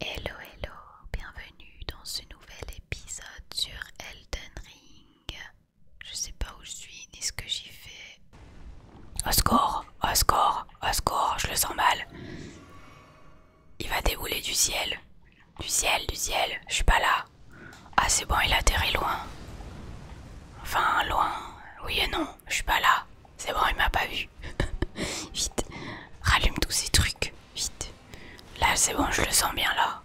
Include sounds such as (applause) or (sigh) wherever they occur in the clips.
Hello hello, bienvenue dans ce nouvel épisode sur Elden Ring. Je sais pas où je suis ni ce que j'y fais. Au score, au score, au score, je le sens mal. Il va débouler du ciel. Du ciel, du ciel, je suis pas là. Ah c'est bon, il a atterrit loin. Enfin loin. Oui et non, je suis pas là. C'est bon, il m'a pas vu. (laughs) Vite, rallume tous ces trucs. Vite. Là, c'est bon, je le sens bien là.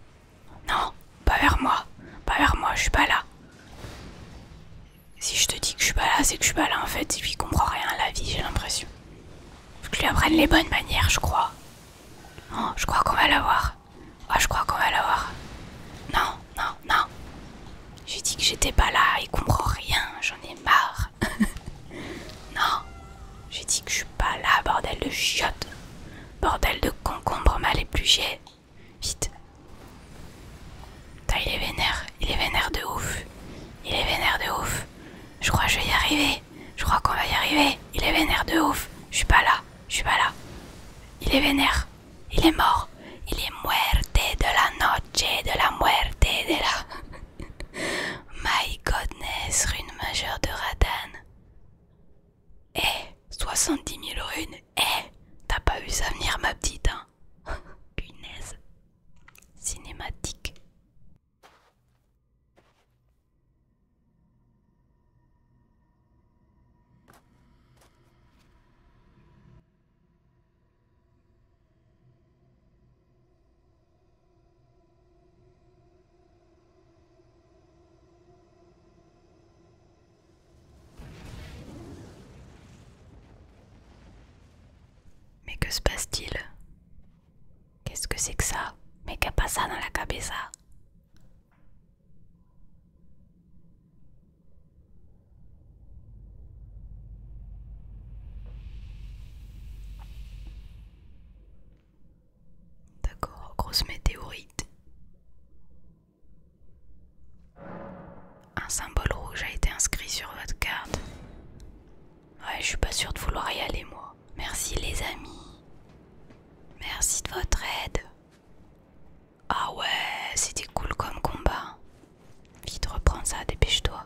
Non, pas vers moi. Pas vers moi, je suis pas là. Si je te dis que je suis pas là, c'est que je suis pas là en fait. Et puis il comprend rien à la vie, j'ai l'impression. Faut que je lui apprenne les bonnes manières, je crois. Non, je crois qu'on va l'avoir. Ah je crois qu'on va l'avoir. Non, non, non. J'ai dit que j'étais pas là, il comprend rien, j'en ai marre. (laughs) Non, j'ai dit que je suis pas là, bordel de chiottes. Bordel de concombre mal épluché. Vite. il est vénère, il est vénère de ouf. Il est vénère de ouf. Je crois que je vais y arriver. Je crois qu'on va y arriver. Il est vénère de ouf. Je suis pas là, je suis pas là. Il est vénère, il est mort. Il est muerte de la noche, de la muerte de la. (laughs) My godness, rune majeure de Radan. Eh, soixante 70 000 runes. Eh, t'as pas vu ça venir, ma petite, hein (laughs) Punaise. Cinématique. Mais que se passe-t-il Qu'est-ce que c'est que ça Mais qu'a pas ça dans la cabeza D'accord, grosse météorite. Un symbole rouge a été inscrit sur votre carte. Ouais, je suis pas sûr de vouloir y aller, moi. Merci, les amis. Merci de votre aide. Ah ouais, c'était cool comme combat. Vite, reprends ça, dépêche-toi.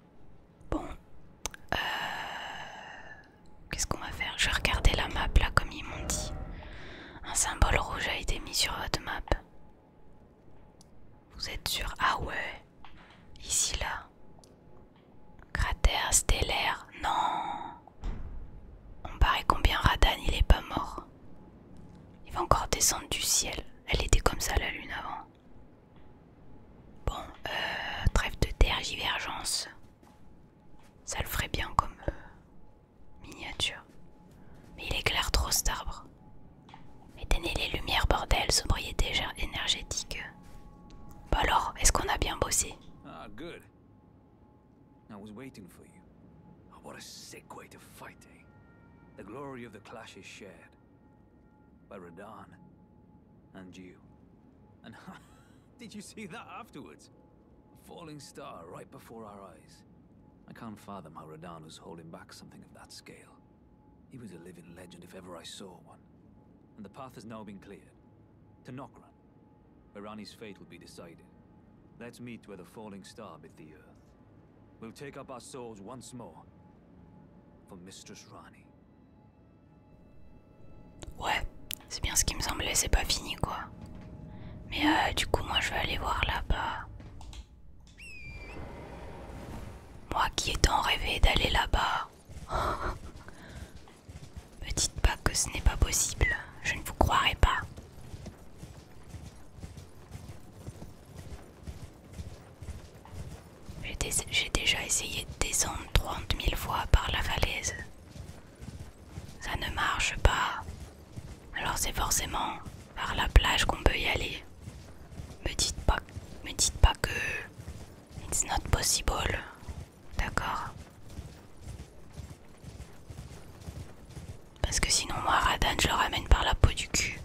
Bon. Euh, qu'est-ce qu'on va faire Je vais regarder la map là comme ils m'ont dit. Un symbole rouge a été mis sur votre map. Vous êtes sûr Ah ouais. Ici là. Cratère stellaire. Non. On paraît combien Radan il est pas mort. Il va encore descendre du ciel. Elle était comme ça la lune avant. Bon, euh, trêve de divergence. Ça le ferait bien comme euh, miniature. Mais il éclaire trop cet arbre. Éteignez les lumières, bordel, sobriété énergétique. Bon bah alors, est-ce qu'on a bien bossé The glory of the clash is shared. that. By Radan. And you. And (laughs) did you see that afterwards? A falling star right before our eyes. I can't fathom how Rodan was holding back something of that scale. He was a living legend if ever I saw one. And the path has now been cleared. To Nokran, where Rani's fate will be decided. Let's meet where the falling star bit the earth. Rani. Ouais, c'est bien ce qui me semblait, c'est pas fini quoi. Mais euh, du coup, moi je vais aller voir là-bas. Moi qui ai tant rêvé d'aller là-bas. (laughs) Me dites pas que ce n'est pas possible, je ne vous croirai pas. J'ai déjà essayé de descendre 30 000 fois par la falaise. Ça ne marche pas. Alors c'est forcément par la plage qu'on peut y aller. Me dites pas, me dites pas que it's not possible. D'accord Parce que sinon moi Radan je le ramène par la peau du cul.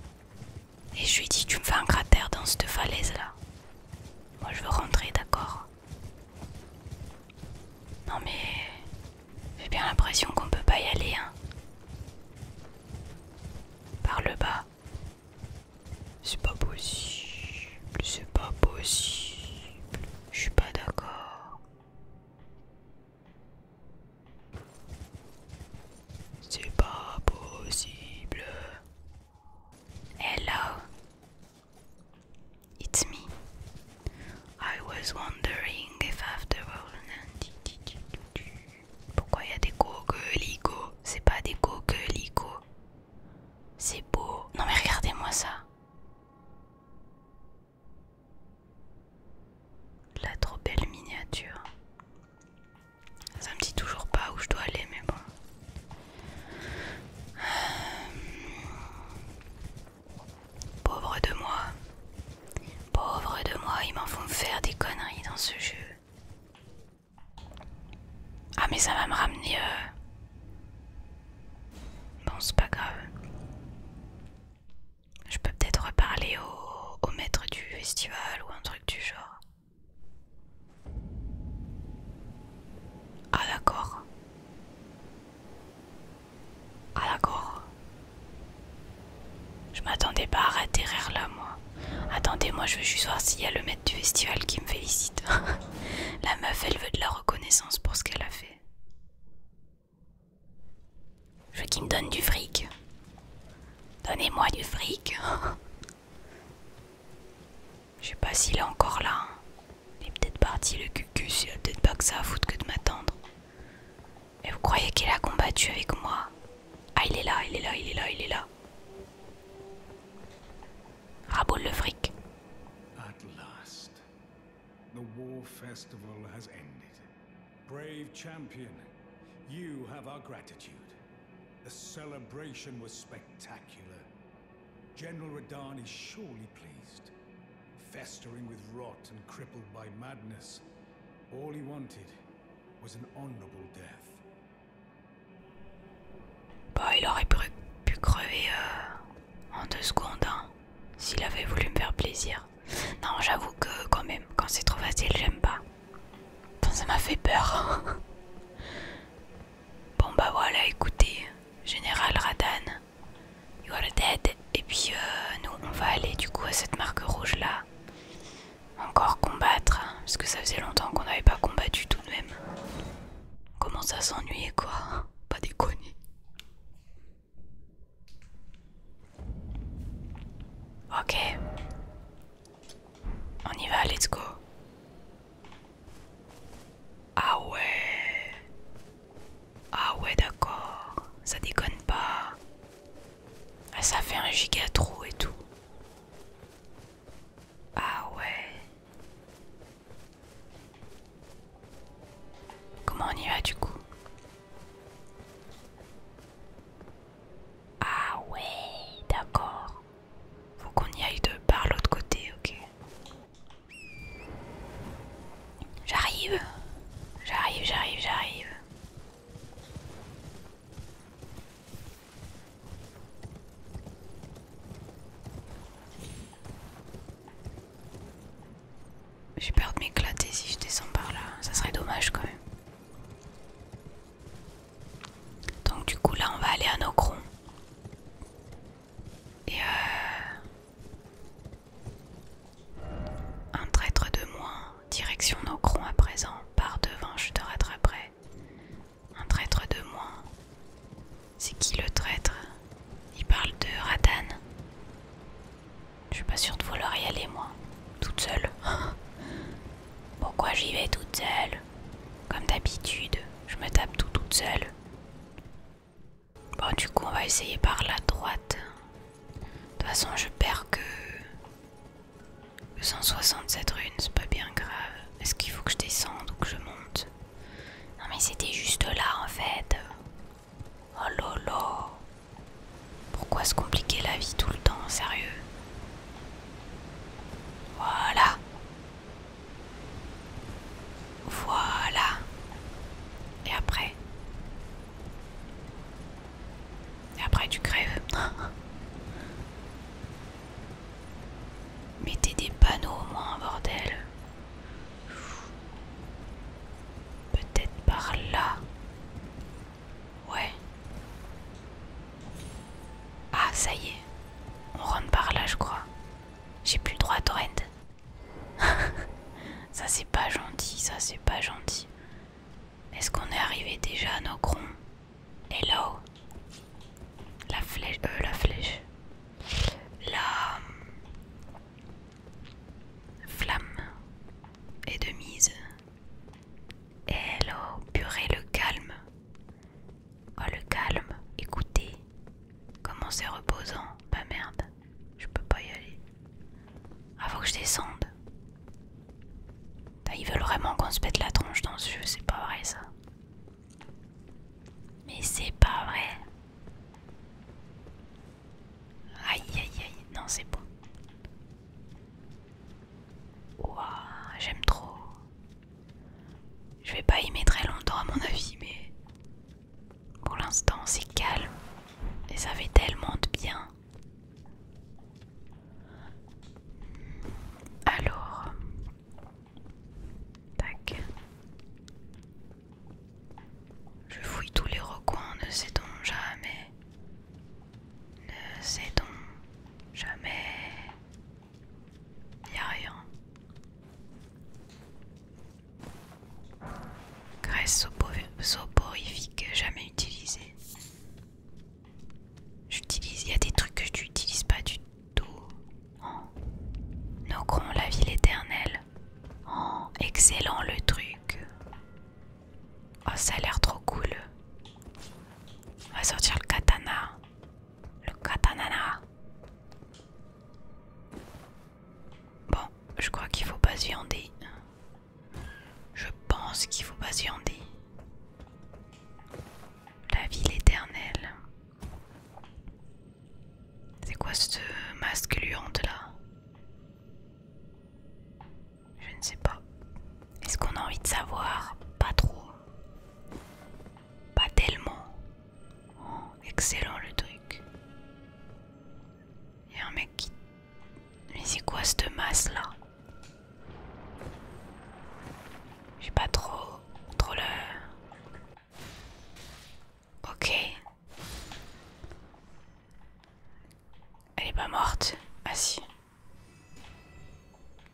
Et je lui dit, tu me fais un cratère dans cette falaise là. Moi je veux rentrer, d'accord Non mais j'ai bien l'impression qu'on peut pas y aller hein. Par le bas. C'est pas possible, c'est pas possible. Je suis pas d'accord. C'est pas possible. Hello. It's me. I was wondering if after all. Pourquoi il y a des coquelicots C'est pas des coquelicots. C'est beau. Non mais regardez-moi ça. La trop belle miniature. Ça me dit toujours pas où je dois aller, mais bon. Euh, pauvre de moi. Pauvre de moi, ils m'en font faire des conneries dans ce jeu. Ah mais ça va me ramener... Euh... Bon, c'est pas grave. Je peux peut-être reparler au maître du festival ou un truc du genre. Ah d'accord. Ah d'accord. Je m'attendais pas à rire là moi. Attendez, moi je veux juste voir s'il y a le maître du festival qui me félicite. (laughs) la meuf elle veut de la reconnaissance pour ce qu'elle a fait. Je veux qu'il me donne du fric. Donnez-moi du fric. Je sais pas s'il est encore là. Il est peut-être parti le cucu il a peut-être pas que ça à foutre que de m'attendre. Et vous croyez qu'il a combattu avec moi Ah il est là, il est là, il est là, il est là. Raboule le fric. At last, the war festival has ended. Brave champion, you have our gratitude. The celebration was spectacular. General Radan is surely pleased. Festering with rot and crippled by madness, all he wanted was an honorable death. Bah, il aurait pu, pu crever euh, en deux secondes, hein, s'il avait voulu me faire plaisir. Non, j'avoue que quand même, quand c'est trop facile, j'aime pas. ça m'a fait peur. bon bah voilà, écoutez, Général Radan, you are dead. Et puis euh, nous, on va aller du coup à cette marque rouge là. Encore combattre, hein, parce que ça faisait longtemps qu'on n'avait pas combattu tout de même. On commence à s'ennuyer quoi, pas déconner. Ok, on y va, let's go. Ah ouais. Ah ouais, d'accord. Ça déconne pas. Ah, ça fait un giga trop et tout. Ah ouais. Comment on y va du coup ah ouais, d'accord. Faut qu'on y aille de par l'autre côté, ok. J'arrive, j'arrive, j'arrive, j'arrive. J'ai peur de m'éclater si je descends par là, ça serait dommage quand même. Donc du coup là on va aller à Nocron. Et euh, Un traître de moins, direction Nocron à présent, par devant je te rattraperai. Un traître de moins. C'est qui le traître Il parle de Radan. Je suis pas sûre de vouloir y aller moi, toute seule. (laughs) Pourquoi j'y vais toute seule Comme d'habitude, je me tape tout toute seule. Bon, du coup, on va essayer par la droite. De toute façon, je perds que 167 runes, c'est pas bien grave. Est-ce qu'il faut que je descende ou que je monte Non, mais c'était juste là en fait. Oh lolo. Pourquoi se compliquer la vie tout le temps, sérieux voilà. Voilà. Et après Et après tu crèves. (laughs) Mettez des panneaux au moins, bordel. Peut-être par là. Ouais. Ah, ça y est. On rentre par là, je crois. J'ai plus droit à Torrent. (laughs) ça, c'est pas gentil, ça, c'est pas gentil. Est-ce qu'on est arrivé déjà à nos crons Hello La flèche... Euh, la flèche. La... Hum, flamme est de mise. Hello, purée, le calme. Oh, le calme. Écoutez, comment c'est reposant. Bah merde, je peux pas y aller. Avant que je descende. Ils veulent vraiment qu'on se pète la tronche dans ce jeu, c'est pas vrai ça. Mais c'est pas vrai. Aïe aïe aïe, non c'est bon. Ouah, j'aime trop. Je vais pas y mettre très longtemps à mon avis, mais pour l'instant c'est calme et ça fait tellement de bien. Alors, tac. Je fouille tous les recoins, ne sait-on jamais. Ne sait-on Jamais. Y'a a rien. Graisse soporifique jamais utilisée. J'utilise. Y'a des trucs que j'utilise pas du tout. Oh. la ville éternelle. Oh, excellent le truc. Oh, ça a l'air trop cool. On va sortir le katana. Le katanana. Bon, je crois qu'il faut pas se viander. Je pense qu'il faut pas se viander. La ville éternelle. C'est quoi ce masque luante là je ne sais pas. Est-ce qu'on a envie de savoir Pas trop. Pas tellement. Oh, excellent le truc. Il y a un mec qui... Mais c'est quoi cette masse là J'ai pas trop... trop Ok. Elle est pas morte. Ah si.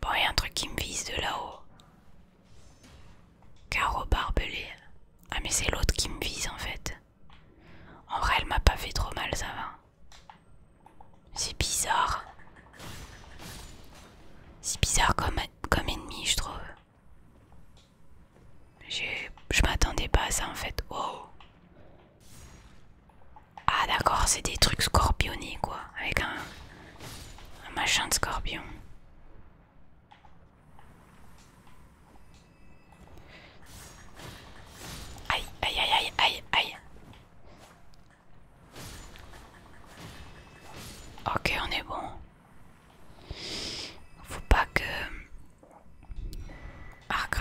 Bon, il y a un truc qui me vise de là-haut. Carreau barbelé. Ah, mais c'est l'autre qui me vise en fait. En vrai, elle m'a pas fait trop mal, ça va. C'est bizarre. C'est bizarre comme, comme ennemi, je trouve. Je m'attendais pas à ça en fait. Oh! Ah d'accord, c'est des trucs scorpionnés quoi, avec un, machin de scorpion. Aïe, aïe, aïe, aïe, aïe, aïe. Ok, on est bon. Faut pas que... Arc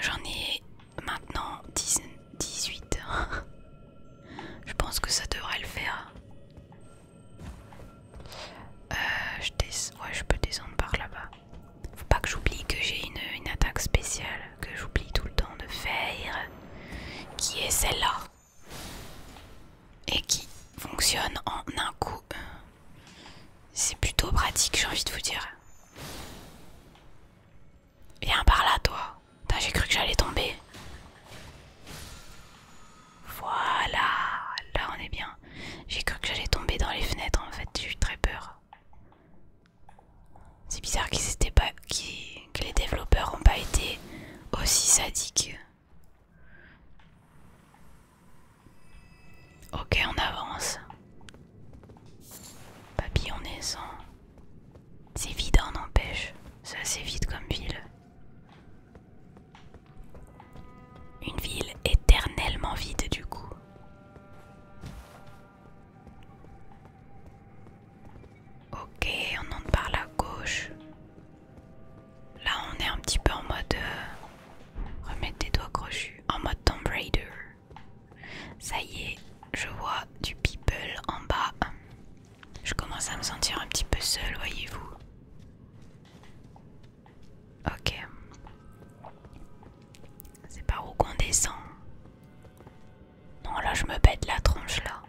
j'en ai Maintenant 18. (laughs) je pense que ça devrait le faire. Euh, je, ouais, je peux descendre par là-bas. Faut pas que j'oublie que j'ai une, une attaque spéciale que j'oublie tout le temps de faire. Qui est celle-là Et qui fonctionne en un coup. C'est plutôt pratique, j'ai envie de vous dire. Viens par là, toi. J'ai cru que j'allais tomber. Voilà, là on est bien. J'ai cru que j'allais tomber dans les fenêtres en fait, j'ai eu très peur. C'est bizarre qu'ils pas, que les développeurs ont pas été aussi sadiques. Ok, on avance. Papy, est sans... C'est vide, on empêche. C'est assez vide comme ville. Une ville éternellement vide du coup. Ok, on entre par la gauche. Là, on est un petit peu en mode euh, remettre des doigts crochus, en mode Tomb Raider. Ça y est, je vois du people en bas. Je commence à me sentir un petit peu seule, voyez-vous. Ok. C'est par où qu'on descend Non, là je me bête la tronche là.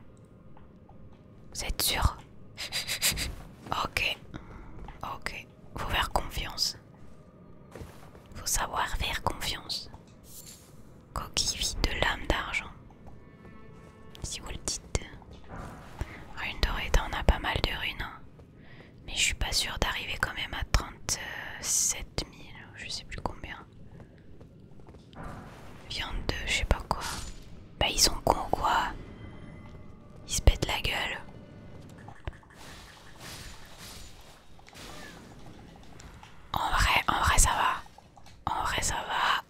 Vous êtes sûr (laughs) Ok. Ok. Faut faire confiance. Faut savoir faire confiance. Coquille de lame d'argent. Si vous le dites. Rune dorée, on a pas mal de runes. Hein. Mais je suis pas sûre d'arriver quand même à 37 000, je sais plus combien. Viande de je sais pas quoi. Bah ils sont cons quoi. Ils se pètent la gueule. En vrai, en vrai ça va. En vrai, ça va.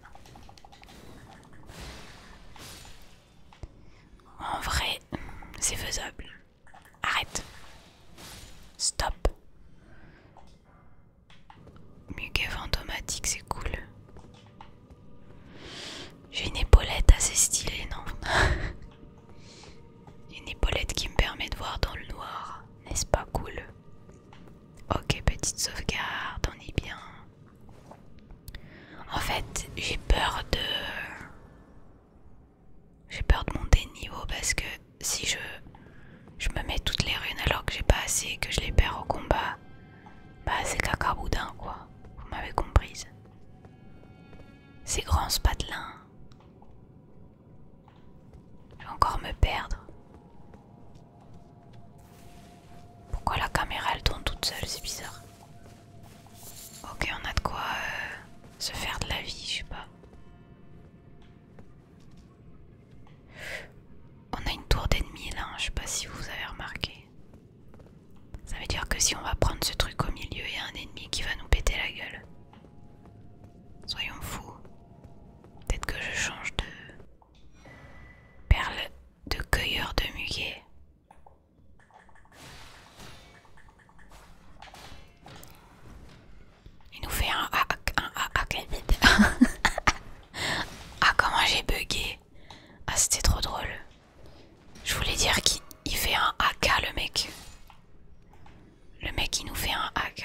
En vrai, c'est faisable. Arrête. Stop. Muguet fantomatique, c'est cool. J'ai une épaulette assez stylée, non (laughs) Une épaulette qui me permet de voir dans le noir. N'est-ce pas cool Ok, petite sauvegarde, on est bien. En fait, j'ai peur de... J'ai peur de monter de niveau parce que si je, je me mets toutes les runes alors que j'ai pas assez et que je les perds au combat, bah c'est caca boudin quoi. Vous m'avez comprise. C'est grand spatelin je vais encore me perdre. Pourquoi la caméra elle tourne toute seule, c'est bizarre. Ok, on a de quoi euh, se faire de la vie, je sais pas. On a une tour d'ennemis là, hein, je sais pas si vous avez remarqué. Ça veut dire que si on va prendre ce truc au milieu, il y a un ennemi qui va nous péter la gueule. Soyons fous. Peut-être que je change de perle de cueilleur de muguet. Il nous fait un ah un ah (laughs) ah comment j'ai buggé Ah c'était trop drôle. Je voulais dire qu'il fait un AK hein, le mec. Le mec il nous fait un AK.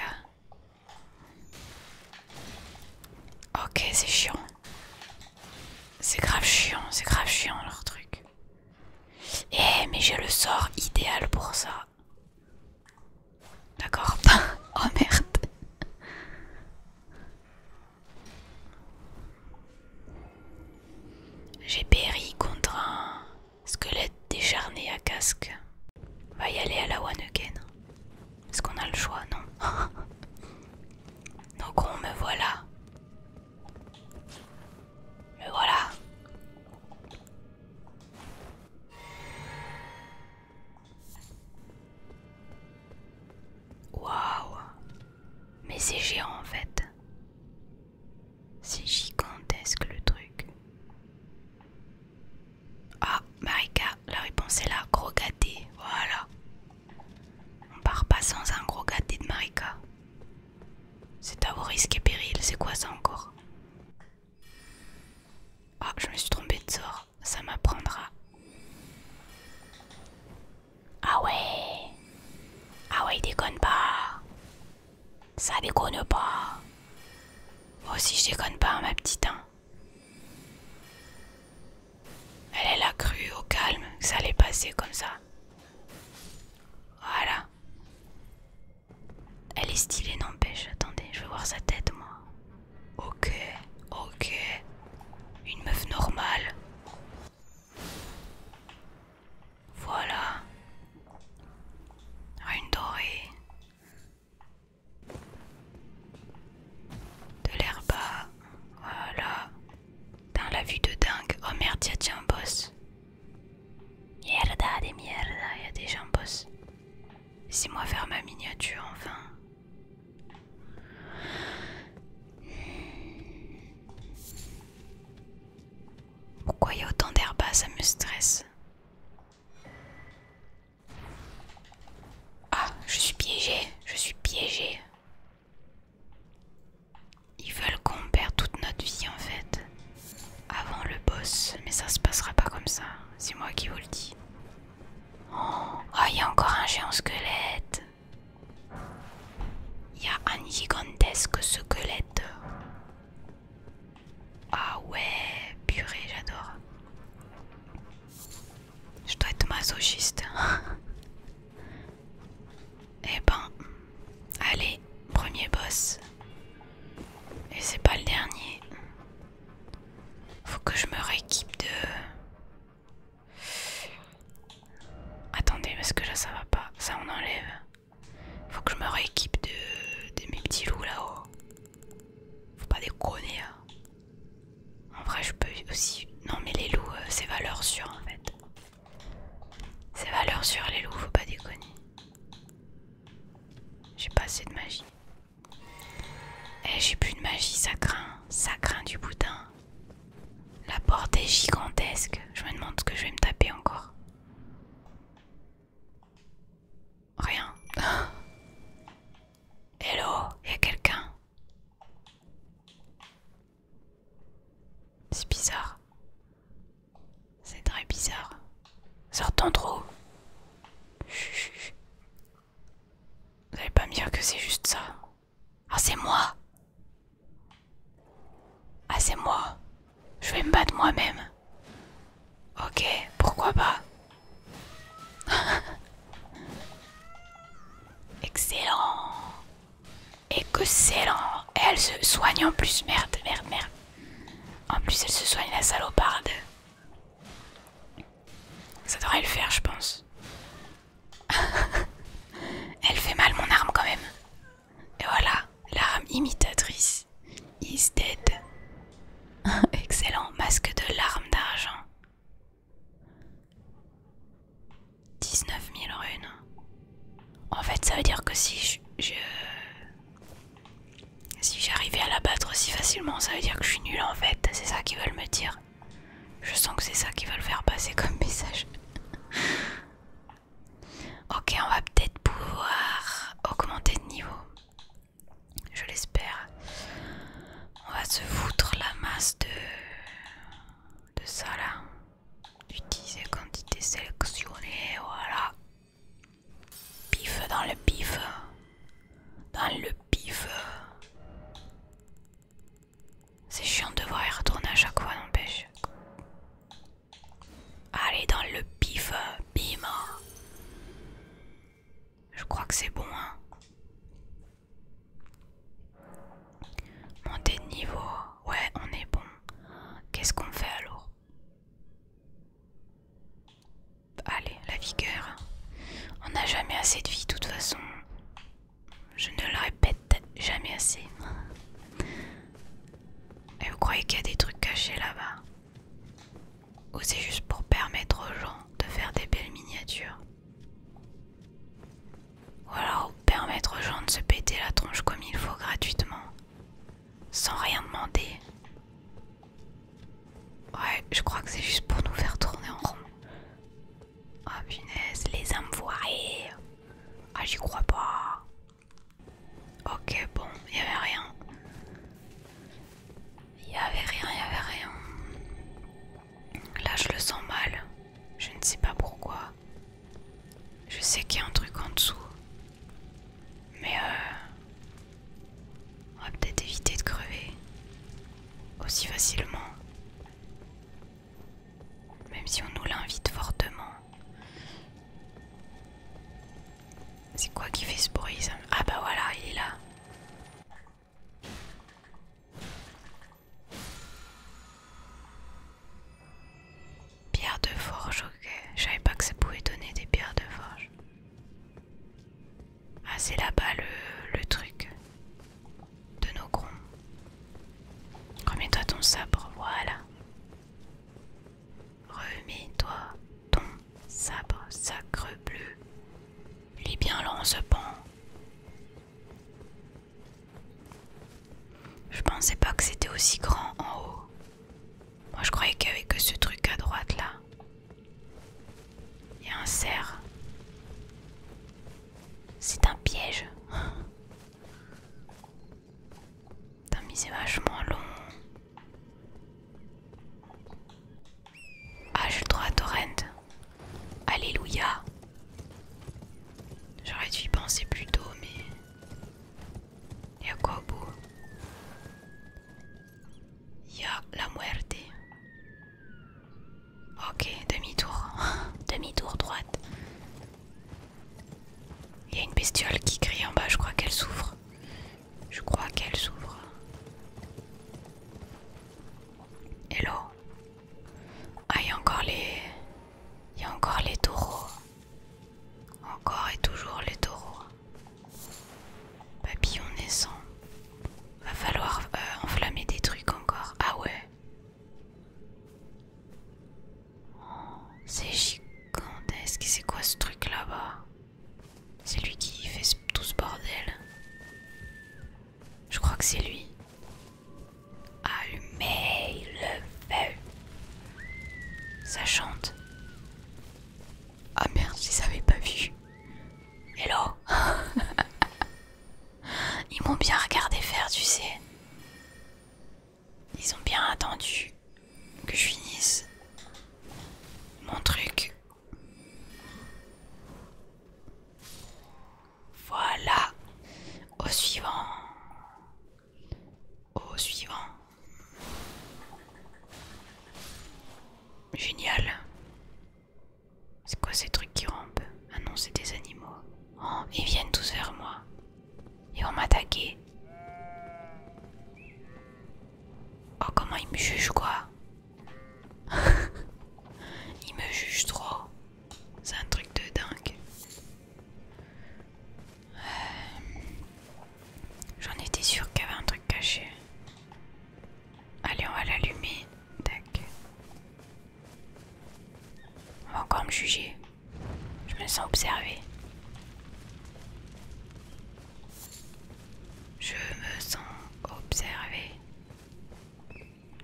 Ok, c'est chiant. C'est grave chiant, c'est grave chiant leur truc. Eh, mais j'ai le sort idéal pour ça. D'accord (laughs) Oh merde J'ai péri contre un squelette décharné à casque. On va y aller à la one again. Est-ce qu'on a le choix Non. (laughs) Donc on me voilà. Me voilà. Waouh. Mais c'est géant en fait. C'est gigantesque le truc. Ah, Marika, la réponse est là, gros gâté. Voilà. On part pas sans un gros gâté de Marika. C'est à vos risques et périls, c'est quoi ça encore Ah, je me suis trompée de sort, ça m'apprendra. Ah ouais Ah ouais, déconne pas Ça déconne pas Moi aussi je déconne pas, ma petite. Hein. Elle, a cru au calme que ça allait passer comme ça. Voilà. Elle est stylée, n'empêche. Attendez, je vais voir sa tête, moi. Ok, ok. Une meuf normale. Voilà. Ah, une dorée. De l'herba, voilà. Dans la vue de dingue. Oh merde, y'a déjà un boss. Mierda de mierda, y'a des un boss. moi faire ma miniature enfin. Pourquoi y a autant d'herba, Ça me stresse. Ah, je suis piégée, je suis piégée. Ils veulent qu'on perde toute notre vie en fait. Avant le boss, mais ça se passera pas comme ça. C'est moi qui vous le dis. Oh, ah, il y a encore un géant squelette. Il y a un gigantesque squelette. Ah ouais, purée, j'adore. Je dois être masochiste. (laughs) eh ben, allez, premier boss. Et c'est pas le dernier. Faut que je me rééquipe de... Attendez, parce que là ça va pas. Ça on enlève. Faut que je me rééquipe de, de mes petits loups là-haut. Faut pas déconner. Hein. En vrai, je peux aussi. Non, mais les loups, euh, c'est valeur sûre en fait. C'est valeur sûre, les loups, faut pas déconner. J'ai pas assez de magie. Eh, j'ai plus de magie, ça craint. Ça craint du boudin. La porte est gigantesque. Je me demande ce que je vais me taper encore. Rien. (laughs) Hello, y quelqu'un C'est bizarre. C'est très bizarre. Sortons trop. Vous allez pas me dire que c'est juste ça. Ah c'est moi. Ah c'est moi. Je vais me battre moi-même. Ok, pourquoi pas (laughs) Excellent Excellent Elle se soigne en plus, merde, merde, merde. En plus, elle se soigne la saloparde. Ça devrait le faire, je pense. (laughs) elle fait mal mon arme quand même. Et voilà, l'arme imitatrice. Is dead. Excellent, masque de larmes d'argent. 19 000 runes. En fait, ça veut dire que si je. si j'arrivais à la battre aussi facilement, ça veut dire que je suis nulle en fait. C'est ça qu'ils veulent me dire. Je sens que c'est ça qu'ils veulent faire passer comme message. ok, on va peut-être pouvoir augmenter de niveau. Je l'espère. On va se foutre la masse de, de ça là. Utiliser quantité sélectionnée, voilà. Pif dans le pif. Dans le pif. C'est chiant de devoir y retourner à chaque fois, n'empêche. Allez, dans le pif, bim. Je crois que c'est bon, hein. Monter de niveau. Ouais, on est bon. Qu'est-ce qu'on fait alors Allez, la vigueur. On n'a jamais assez de vie, de toute façon. Je ne le répète jamais assez. Et vous croyez qu'il y a des trucs cachés là-bas ou c'est juste pour permettre aux gens de faire des belles miniatures Ou alors permettre aux gens de se péter la tronche comme il faut gratuitement Sans rien demander Ouais, je crois que c'est juste pour nous faire tourner en rond. Ah punaise, les âmes voirées Ah j'y crois pas Ok bon, il avait rien. Il n'y avait rien, il n'y avait rien. Là, je le sens mal. Je ne sais pas pourquoi. Je sais qu'il y a un truc en dessous. Mais euh, on va peut-être éviter de crever aussi facilement. Même si on nous l'invite fortement. C'est quoi qui fait ce bruit Ah bah voilà, il est là. Pierre de forge, ok. Je savais pas que ça pouvait donner des pierres de forge. Ah, c'est là-bas le, truc de nos grands. Remets-toi ton sabre, voilà. Remets-toi ton sabre, sacre bleu. Il est bien long ce pont Je pensais pas que c'était aussi grand en haut. Moi je croyais qu'il y avait que ce truc à droite là. Il y a un cerf. C'est un piège. (laughs) Putain, mais vachement long. Ah, j'ai le droit à Torrent. Alléluia. J'aurais dû y penser plus tôt, mais. Y'a quoi au bout Y'a la muerte. Ok, demi-tour. (laughs) demi-tour droite. Il y a une bestiole qui crie en bas, je crois qu'elle souffre. Je crois qu'elle s'ouvre. Hello. Ah, il y a encore les. Il y a encore les taureaux. Encore et toujours les taureaux. Papillon naissant. Va falloir euh, enflammer des trucs encore. Ah ouais. c'est gigantesque. C'est quoi ce truc là-bas c'est lui qui fait tout ce bordel. Je crois que c'est lui. Allumez ah, le Ça chante. Ah merde, ils les pas vu. Hello (laughs) Ils m'ont bien regardé faire, tu sais. Ils ont bien attendu que je finisse mon truc voilà. Au suivant. Au suivant. Génial. C'est quoi ces trucs qui rampent Ah non, c'est des animaux. Oh, ils viennent tous vers moi. Ils vont m'attaquer. Oh, comment ils me jugent, quoi (laughs) Il me juge trop. C'est un truc de dingue. Euh, j'en étais sûre qu'il y avait un truc caché. Allez, on va l'allumer. On va encore me juger. Je me sens observée. Je me sens observé.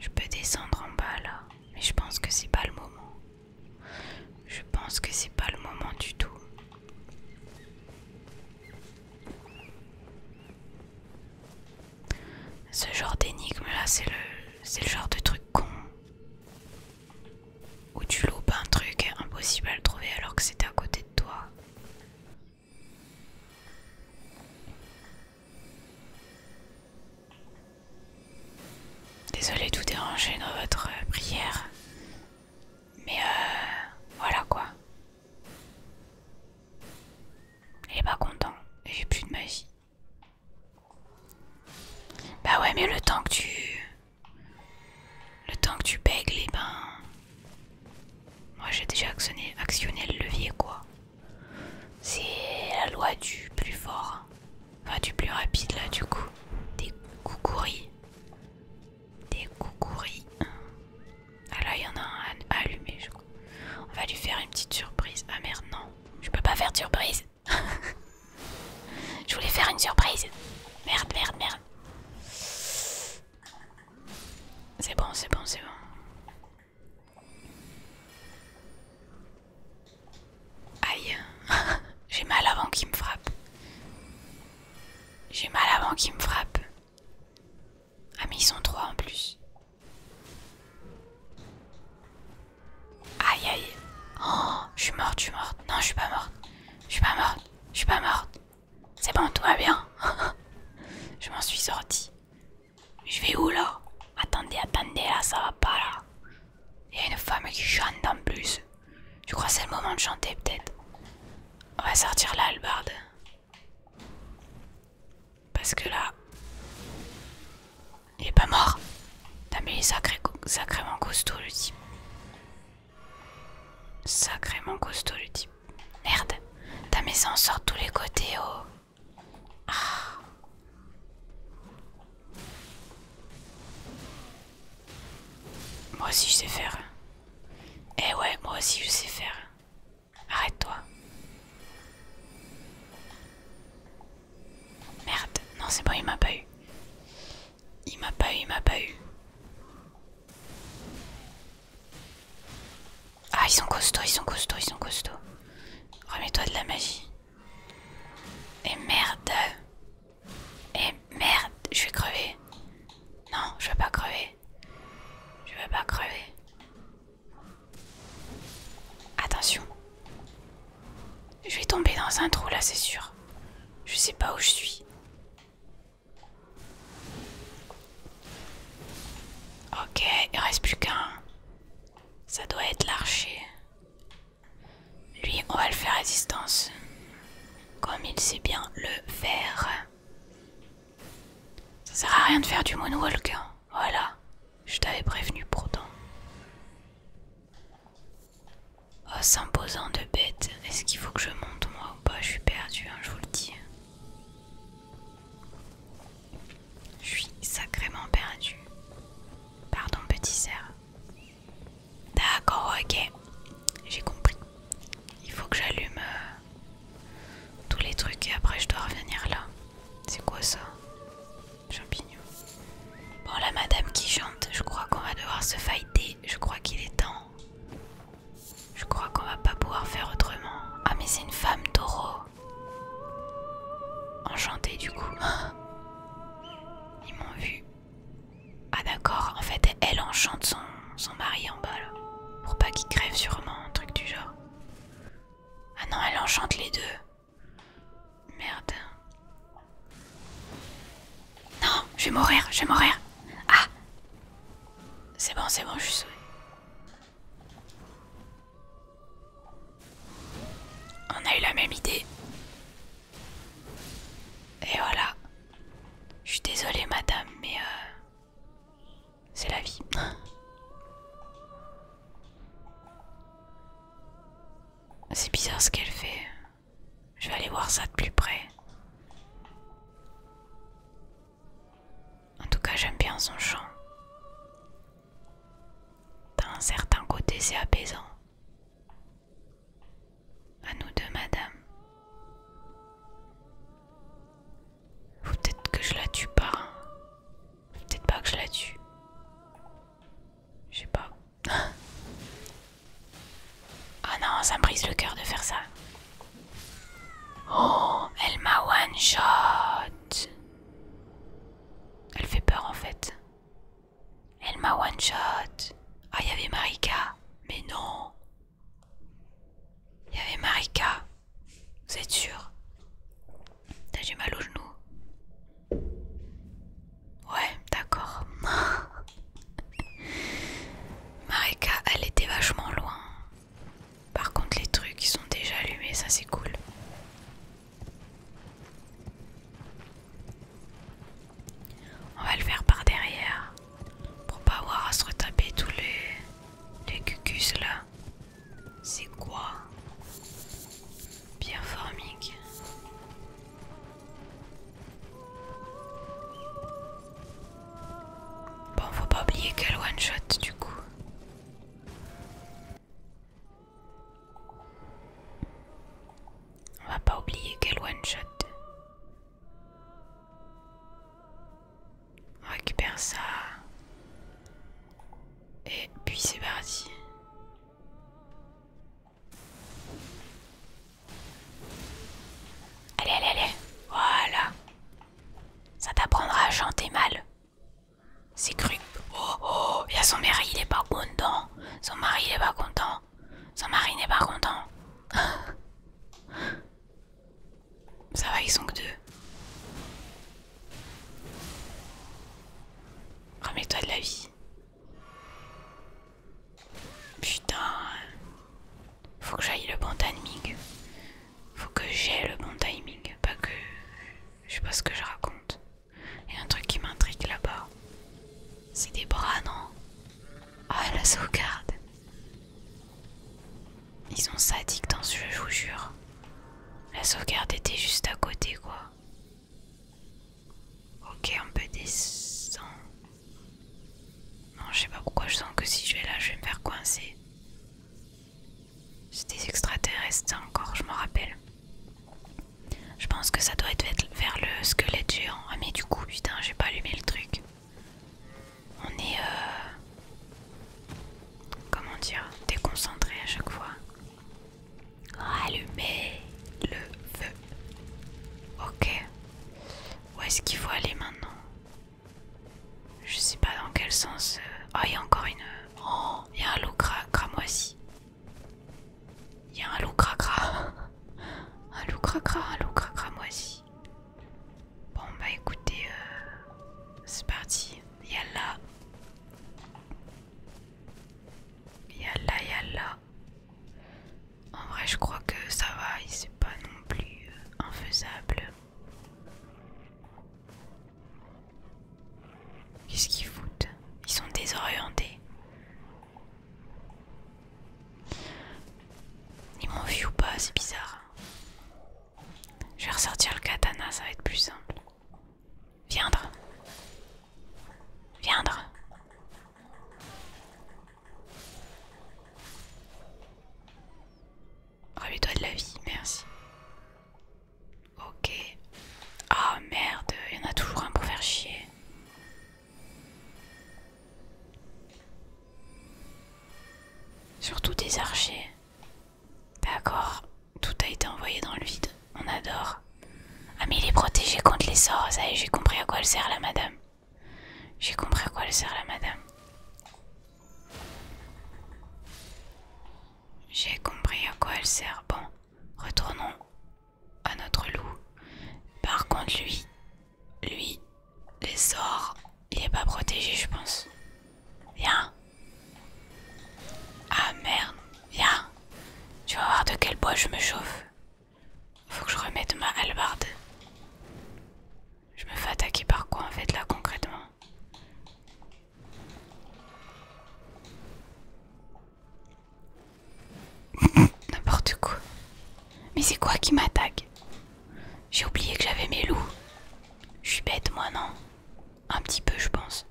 Je peux descendre en bas là, mais je pense que c'est pas le moment. Je pense que c'est pas le moment du tout. Ce genre d'énigme là, c'est le, genre de truc con où tu loupes un truc impossible à trouver alors que c'était à côté de toi. Désolé de vous déranger dans votre euh, prière, mais euh, voilà quoi. Il est pas content, j'ai plus de magie. Bah ouais, mais le temps que tu le temps que tu bègles, et eh ben. Moi j'ai déjà actionné, le levier quoi. C'est la loi du plus fort. Hein. Enfin du plus rapide là du coup. Des coucouris. Des coucouris. Ah là il y en a un allumer je crois. On va lui faire une petite surprise. Ah merde non. Je peux pas faire de surprise. (laughs) je voulais faire une surprise. Merde, merde, merde. C'est bon, c'est bon, c'est bon. Aïe, (laughs) j'ai mal avant qu'il me frappe. J'ai mal avant qu'il me frappe. Ah mais ils sont trois en plus. Aïe aïe. Oh, je suis morte, je suis morte. Non, je suis pas morte. Je suis pas morte. Je suis pas morte. C'est bon, tout va bien. (laughs) je m'en suis sorti. Je vais où là Attendez, attendez, là ça va pas là. Il y a une femme qui chante en plus. Je crois c'est le moment de chanter peut-être On va sortir la hallebarde. Parce que là... Il est pas mort. T'as sacré, sacrément costaud le type. Sacrément costaud le type. Merde, ta maison sort tous les côtés, oh. Ah. Moi aussi je sais faire. Eh ouais, moi aussi je sais faire. Arrête-toi. Merde, non c'est bon, il m'a pas eu. Il m'a pas eu, il m'a pas eu. Ah, ils sont costauds, ils sont costauds, ils sont costauds. Remets-toi de la magie. Et merde. Et merde, je vais crever. Non, je vais pas crever. Je vais pas crever. Attention. Je vais tomber dans un trou là, c'est sûr. Je sais pas où je suis. Ok, il reste plus qu'un. Ça doit être l'archer. Lui, on va le faire résistance Comme il sait bien le faire. Ça sert à rien de faire du moonwalk. Hein. Voilà. Je t'avais prévenu pourtant. Oh, s'imposant de bête. Est-ce qu'il faut que je monte moi ou pas Je suis perdu, hein, je vous le dis. Je suis sacrément perdu. Pardon, petit cerf. D'accord, ok. J'ai compris. Il faut que j'allume euh, tous les trucs et après je dois revenir là. C'est quoi ça Champignons. Bon, la madame qui chante, je crois qu'on va devoir se fighter. Je crois qu'il est temps. Je crois qu'on va pas pouvoir faire autrement. Ah mais c'est une femme taureau. Enchantée du coup. (laughs) Ils m'ont vu. Ah d'accord, en fait elle enchante son, son mari en bas Pour pas qu'il crève sûrement, un truc du genre. Ah non, elle enchante les deux. Merde. Non, je vais mourir, je vais mourir. Ah c'est bon, c'est bon, je suis On a eu la même idée. Et voilà. Je suis désolée, madame, mais euh, c'est la vie. (laughs) C'est bizarre ce qu'elle fait. Je vais aller voir ça de plus près. En tout cas, j'aime bien son chant. D'un certain côté, c'est apaisant. À nous deux, madame. peut-être que je la tue pas. Hein. peut-être pas que je la tue. Je sais pas. (laughs) Ah non, ça me brise le cœur de faire ça. Oh, elle m'a one shot. Elle fait peur en fait. Elle m'a one shot. Ah, il y avait Marika. Mais non. Il y avait Marika. Vous êtes sûr T'as du mal au genou Ouais, d'accord. (laughs) Marika, elle était vachement loin. Par contre, les trucs qui sont déjà allumés, ça c'est cool. On va le faire par derrière pour pas avoir à se retaper tous les, les cucus là. C'est quoi Bien formique. Bon, faut pas oublier qu'elle one shot du coup. On va pas oublier qu'elle one shot. On récupère ça. Et puis c'est parti. Allez, allez, allez. Voilà. Ça t'apprendra à chanter mal. C'est cru. Oh oh, il y a son mari, il est pas content. Son mari, il est pas content. Son mari n'est pas content. (laughs) Ça va, ils sont que deux. Remets-toi de la vie. Putain. Faut que j'aille le bon timing. Faut que j'ai le bon timing. Pas que je sais pas ce que je raconte. Il y a un truc qui m'intrigue là-bas. C'est des bras, non Ah, la sauvegarde. Ils sont sadiques dans ce jeu, je vous jure. La sauvegarde était juste à côté, quoi. Ok, on peut descendre. Non, je sais pas pourquoi je sens que si je vais là, je vais me faire coincer. C'est des extraterrestres, hein, encore, je me rappelle. Je pense que ça doit être vers le squelette géant. Ah, mais du coup, putain, j'ai pas allumé le truc. On est. Euh, comment dire Déconcentré à chaque fois. Allumer le feu. Ok. Où est-ce qu'il faut aller maintenant je sais pas dans quel sens. oh, il y a encore une. Oh, il y a un loup cra cramoisi. Il y a un loup cra (laughs) Un loup cra un loup cramoisi. Bon, bah écoutez, euh, c'est parti. Yalla. Yalla, yalla. En vrai, je crois que ça va, c'est pas non plus euh, infaisable. Qu'est-ce qu'ils foutent Ils sont désorientés. Ils m'ont vu ou pas, c'est bizarre. Je vais ressortir le katana, ça va être plus simple. Viendre. Viendre réveille oh, toi de la vie, merci. Ok. Ah merde, il y en a toujours un pour faire chier. Surtout des archers. Bah, d'accord, tout a été envoyé dans le vide, on adore. Ah mais il est protégé contre les sorts, ça y est, j'ai compris à quoi elle sert la madame. J'ai compris à quoi elle sert la madame. J'ai compris à quoi elle sert. Bon, retournons à notre loup. Par contre, lui, lui, les sorts, il est pas protégé, je pense. Viens. Ah merde, viens. Tu vas voir de quel bois je me chauffe. Faut que je remette ma hallebarde. Je me fais attaquer par quoi en fait là concrètement (laughs) N'importe quoi. Mais c'est quoi qui m'attaque J'ai oublié que j'avais mes loups. Je suis bête moi non Un petit peu je pense.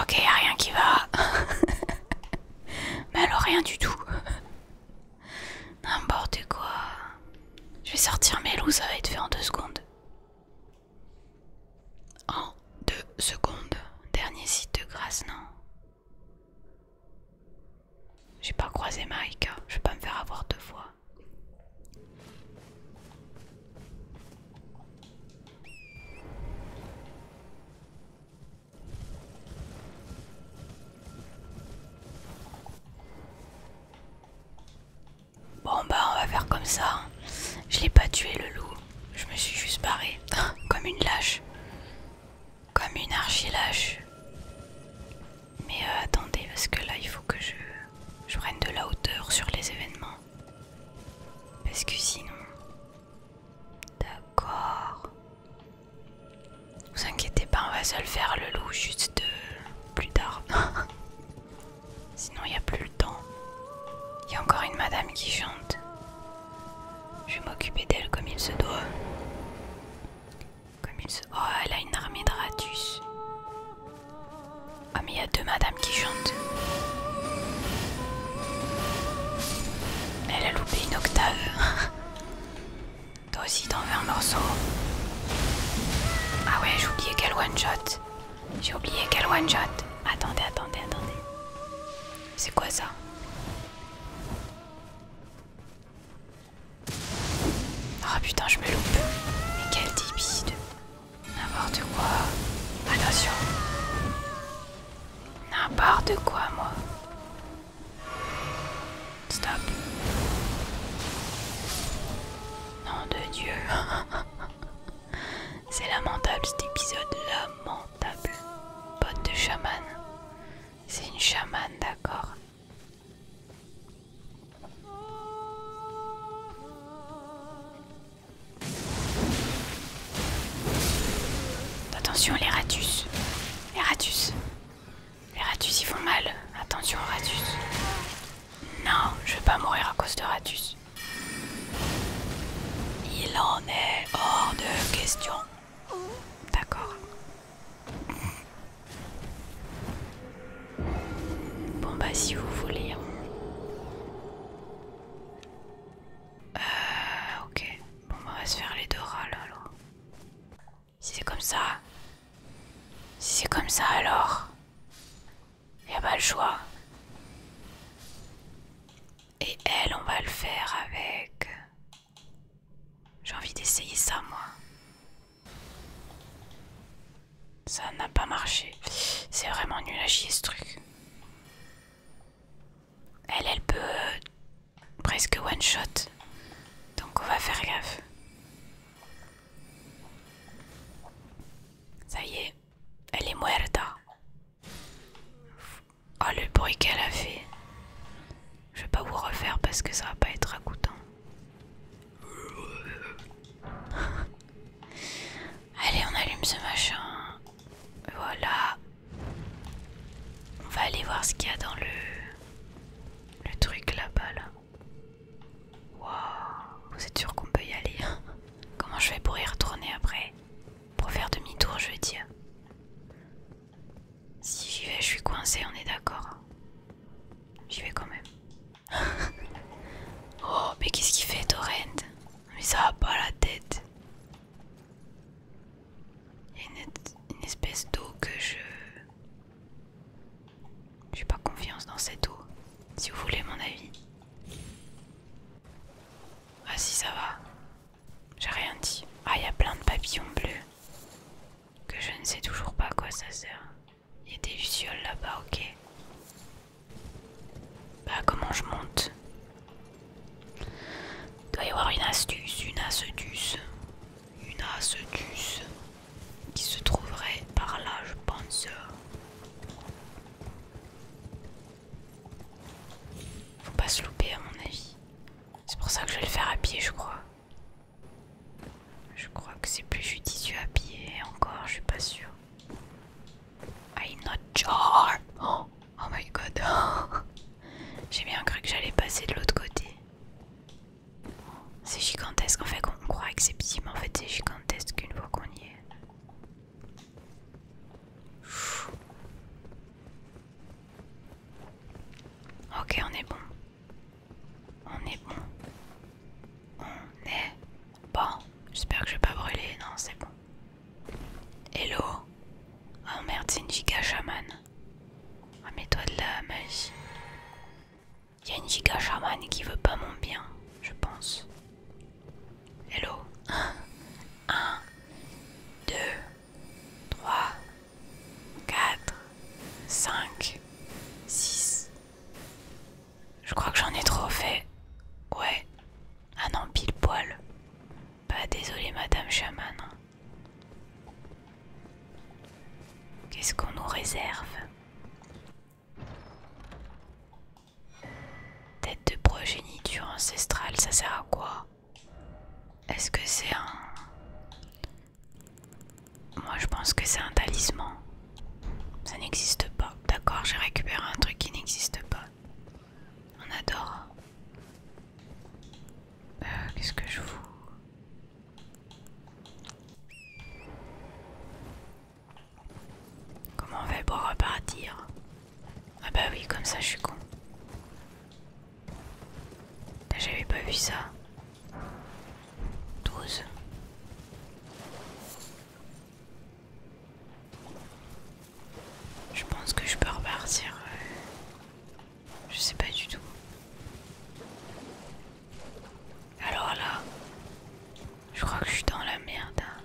Ok, rien qui va. (laughs) Mais alors rien du tout. (laughs) N'importe quoi. Je vais sortir mes loups, ça va être fait en deux secondes. En deux secondes. Dernier site de grâce, non J'ai pas croisé Marika, je vais pas me faire avoir deux fois. Bon bah on va faire comme ça. Hein. Je l'ai pas tué le loup. Je me suis juste barré. (laughs) comme une lâche. Comme une archi-lâche. Mais euh, attendez parce que là il faut que je, je prenne de la hauteur sur les événements. Parce que sinon... D'accord. Ne Vous inquiétez pas, on va se le faire le loup juste euh, plus tard. (laughs) Sinon, il n'y a plus le temps. Il y a encore une madame qui chante. Je vais m'occuper d'elle comme il se doit. Comme il se... Oh, elle a une armée de ratus. Oh mais il y a deux madames qui chantent. Elle a loupé une octave. (laughs) Toi aussi t'en un morceau Ah ouais, j'ai oublié quel one-shot. J'ai oublié quel one-shot. Attendez, attendez, attendez. C'est quoi ça Ah putain, je me loupe. Mais quel débile. N'importe quoi. Attention. N'importe quoi, moi. Stop. Nom de Dieu. (laughs) C'est lamentable cet épisode. Lamentable. pote de chaman. C'est une chamane, d'accord. Attention les ratus. Les ratus. Les Ratus ils font mal. Attention aux Non, je vais pas mourir à cause de Ratus. Il en est hors de question. D'accord. Bon bah si vous voulez. Euh ok. Bon bah on va se faire les deux râles alors. Si c'est comme ça. Si c'est comme ça alors. y'a a pas le choix. Et elle, on va le faire avec... J'ai envie d'essayer ça, moi. Ça n'a pas marché. C'est vraiment nul à chier, ce truc. Elle, elle peut presque one shot. Donc on va faire gaffe. Ça y est, elle est muerta. Oh le bruit qu'elle a fait. Je vais pas vous refaire parce que ça va pas être goûtant. (laughs) Allez, on allume ce machin. Voilà. On va aller voir ce qu'il y a dans le le truc là-bas là. vous êtes sûr qu'on peut y aller hein? Comment je vais pour y retourner après Pour faire demi-tour, je veux dire. Si j'y vais, je suis coincé, on est d'accord. Hein. J'y vais quand même. (laughs) oh, mais qu'est-ce qu'il fait, Torrent Mais ça va pas la tête. Il y a une, espèce d'eau que je... J'ai pas confiance dans cette eau, si vous voulez mon avis. Ah si ça va, j'ai rien dit. Ah il y a plein de papillons bleus que je ne sais toujours pas à quoi ça sert. Il y a des lucioles là-bas, ok. Bah comment je monte Doit y avoir une astuce, une astuce une astuce, qui se trouverait par là, je pense. Faut pas se louper, à mon avis. C'est pour ça que je vais le faire à pied, je crois. Je crois que c'est plus judicieux à pied, encore, je suis pas sûr. I not oh, oh my god! (laughs) J'ai bien cru que j'allais passer de l'autre côté. C'est gigantesque, en fait on croit que c'est petit, mais en fait c'est gigantesque une fois qu'on y est. Ok, on est bon. On est bon. On est bon. J'espère que je vais pas brûler. Non, c'est bon. Hello. Oh merde, c'est une giga Remets-toi ah, de là, magie. Il y une giga chamane qui veut pas mon bien, je pense. Hello 1, 2, 3, 4, 5, 6. Je crois que j'en ai trop fait. Ouais. Ah non, pile poil. Bah désolé madame Shaman. Qu'est-ce qu'on nous réserve Tête de progéniture ancestrale, ça sert à quoi Est-ce que c'est un... Moi je pense que c'est un talisman. Ça n'existe pas. D'accord, j'ai récupéré un truc qui n'existe pas. On adore. Euh, qu'est-ce que je vous... Comment on fait pour repartir Ah bah oui, comme ça je suis con. J'avais pas vu ça. 12. Je pense que je peux repartir je sais pas du tout. Alors là, je crois que je suis dans la merde. Hein.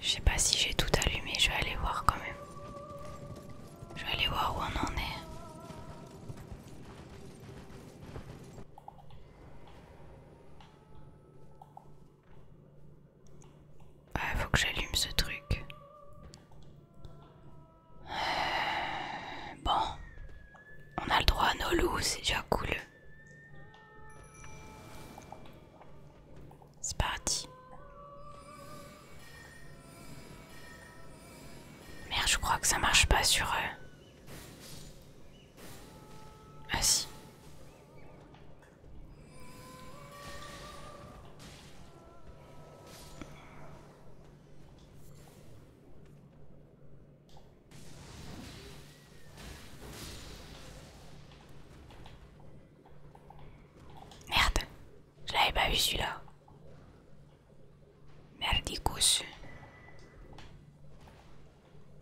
Je sais pas si j'ai tout allumé, je vais aller voir quand même. Je vais aller voir où on en est. Ah, faut que j'allume ce truc. (sighs) bon, on a le droit à nos loups, c'est déjà cool. C'est parti. Merde, je crois que ça marche pas sur eux. Ah si. Merde, je l'avais pas vu celui-là. Merde il Merdicus.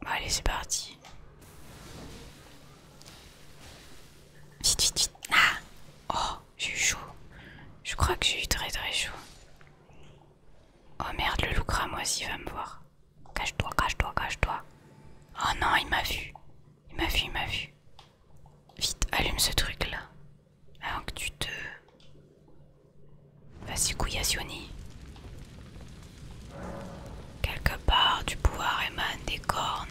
Bon, allez, c'est parti. Vite, vite, vite. Ah Oh j'ai eu chaud. Je crois que je eu très très chaud. Oh merde, le loup aussi, va me voir. Cache-toi, cache-toi, cache-toi. Oh non, il m'a vu. Il m'a vu, il m'a vu. Vite, allume ce truc là. Avant que tu te. Vas-y, Quelque part, du pouvoir émane des cornes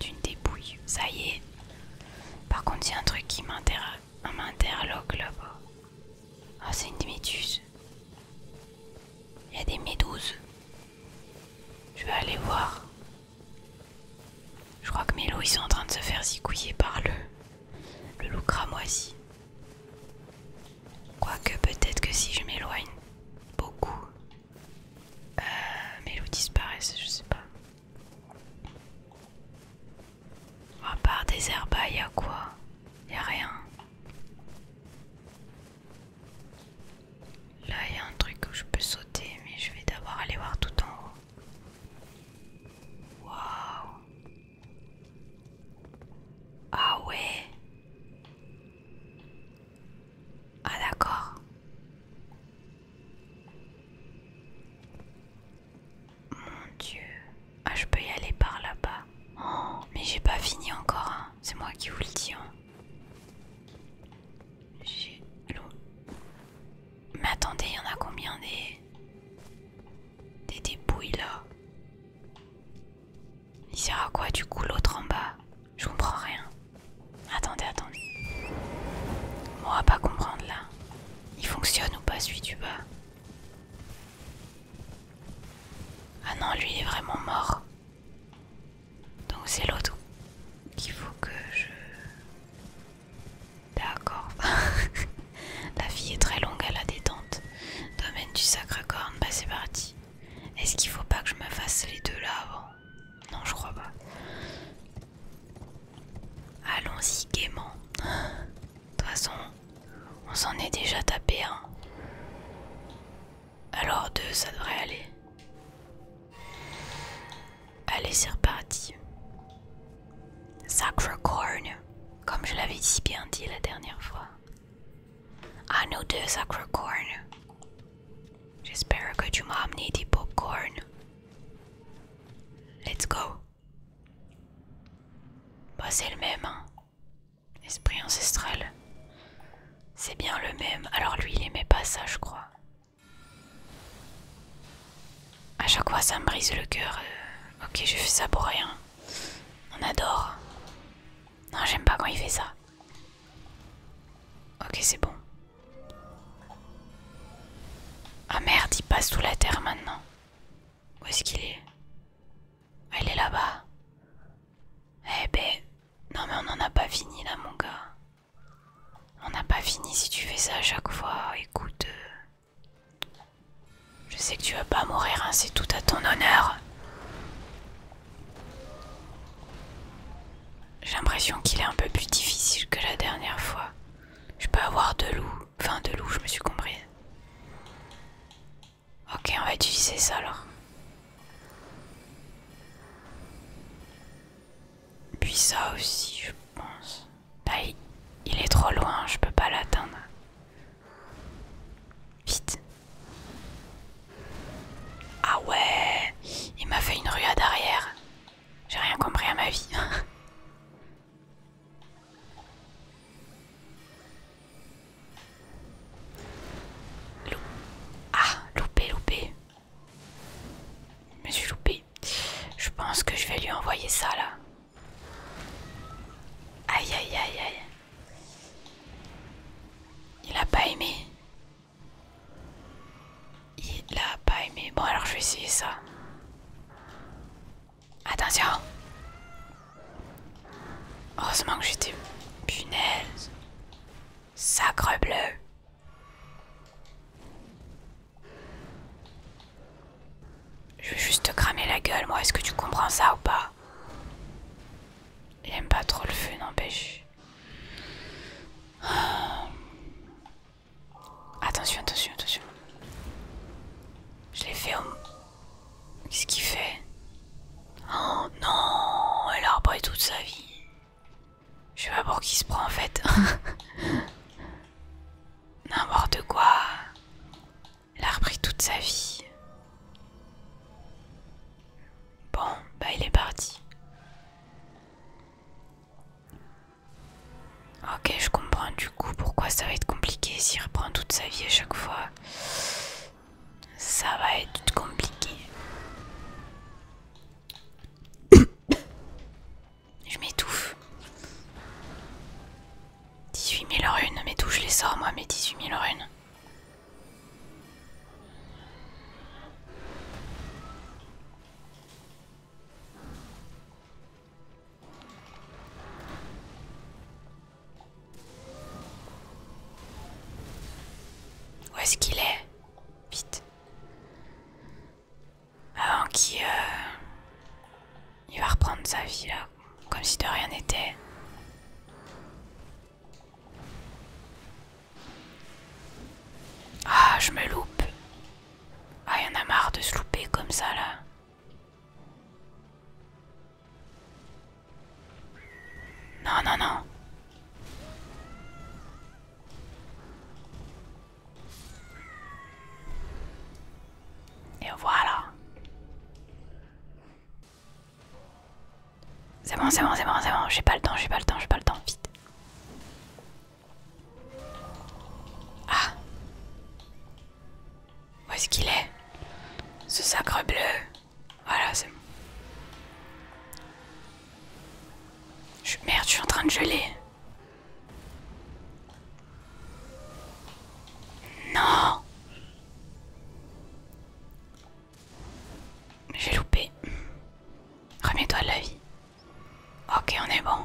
d'une dépouille. Ça y est. Par contre, il y a un truc qui m'interloque là-bas. Ah, c'est une méduse. Il y a des méduses. Je vais aller voir. Je crois que loups, ils sont en train de se faire zigouiller par le, le loup cramoisi. Quoique, peut-être que si je m'éloigne beaucoup, euh, mes loups disparaissent, je sais pas. À part des il y a quoi Y a rien. Là, y a un truc où je peux sauter, mais je vais d'abord aller voir tout en haut. Waouh Ah ouais Ah d'accord. Mon dieu. Ah, je peux y aller par là-bas. Oh, mais j'ai pas fini encore. Hein. C'est moi qui vous le dis. Hein. J'ai l'eau. Mais attendez, il y en a combien des... des dépouilles là Il sert à quoi du coup l'autre en bas Je comprends rien. Attendez, attendez. Moi, va pas comprendre là. Il fonctionne ou pas celui du bas Ah non, lui est vraiment mort. Donc c'est l'autre qu'il faut que je... D'accord. (laughs) La fille est très longue à la détente. Domaine du sacre corne, bah c'est parti. Est-ce qu'il faut pas que je me fasse les deux là avant non, je crois pas. Allons-y gaiement. De toute façon, on s'en est déjà tapé un. Alors deux, ça devrait aller. Allez, c'est reparti. Sacre corn, comme je l'avais si bien dit la dernière fois. Ah nous deux, sacre corn. J'espère que tu m'as amené des popcorn. Let's go. Bah c'est le même, hein. Esprit ancestral. C'est bien le même. Alors lui il aimait pas ça je crois. À chaque fois ça me brise le cœur. Euh, ok je fais ça pour rien. On adore. Non j'aime pas quand il fait ça. Ok c'est bon. Ah merde, il passe sous la terre maintenant. Où est-ce qu'il est, elle est ah, Il est là-bas. Eh ben, non mais on n'en a pas fini là mon gars. On n'a pas fini si tu fais ça à chaque fois. Écoute, euh, je sais que tu vas pas mourir, hein, c'est tout à ton honneur. J'ai l'impression qu'il est un peu plus difficile que la dernière fois. Je peux avoir de loups. Enfin, de loups, je me suis compris. Ok, on va utiliser ça alors. Puis ça aussi, je pense. Bah, il est trop loin, je peux pas l'atteindre. Vite. Ah ouais, il m'a fait une ruade arrière. J'ai rien compris à ma vie. (laughs) ah, loupé, loupé. Mais je suis loupé. Je pense que je vais lui envoyer ça là. Aïe aïe aïe aïe. Il a pas aimé. Il l'a pas aimé. Bon, alors je vais essayer ça. Attention! Heureusement que j'étais. Punaise! Sacre bleu! Je vais juste te cramer la gueule, moi. Est-ce que tu comprends ça ou pas? J'aime pas trop le feu, n'empêche. Attention, attention, attention. Je l'ai fait au... Qu'est-ce qu'il fait Oh non Elle a repris toute sa vie. Je sais pas pour qui se prend en fait. (laughs) N'importe quoi. Elle a repris toute sa vie. Bon, bah il est parti. Ok, je comprends du coup pourquoi ça va être compliqué s'il reprend toute sa vie à chaque fois. Ça va être compliqué. je m'étouffe. 18 000 runes, mais tout je les sors moi mes 18 000 runes où est-ce qu'il est Vite. Avant qu'il... Euh, il va reprendre sa vie là, comme si de rien n'était. Ah, je me loupe. Ah, y en a marre de se louper comme ça là. Non, non, non. Et voilà. C'est bon, c'est bon, c'est bon, c'est bon. J'ai pas le temps, j'ai pas le temps, j'ai pas le temps. Vite. Ah Où est-ce qu'il est Ce sacre bleu Voilà, c'est Je, merde, je suis en train de geler. Non J'ai loupé. Remets-toi de la vie. Ok, on est bon.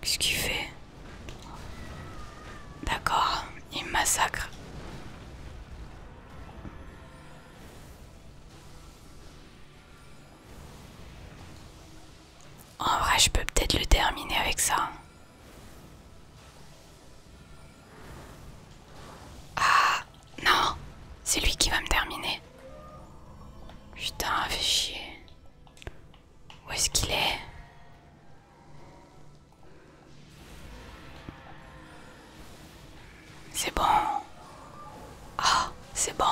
Qu'est-ce qu'il fait D'accord, il me massacre. En vrai, je peux peut-être le terminer avec ça. Ah non, c'est lui qui va me terminer. Putain, fait chier. Où est-ce qu'il est, C'est bon. Ah, c'est bon.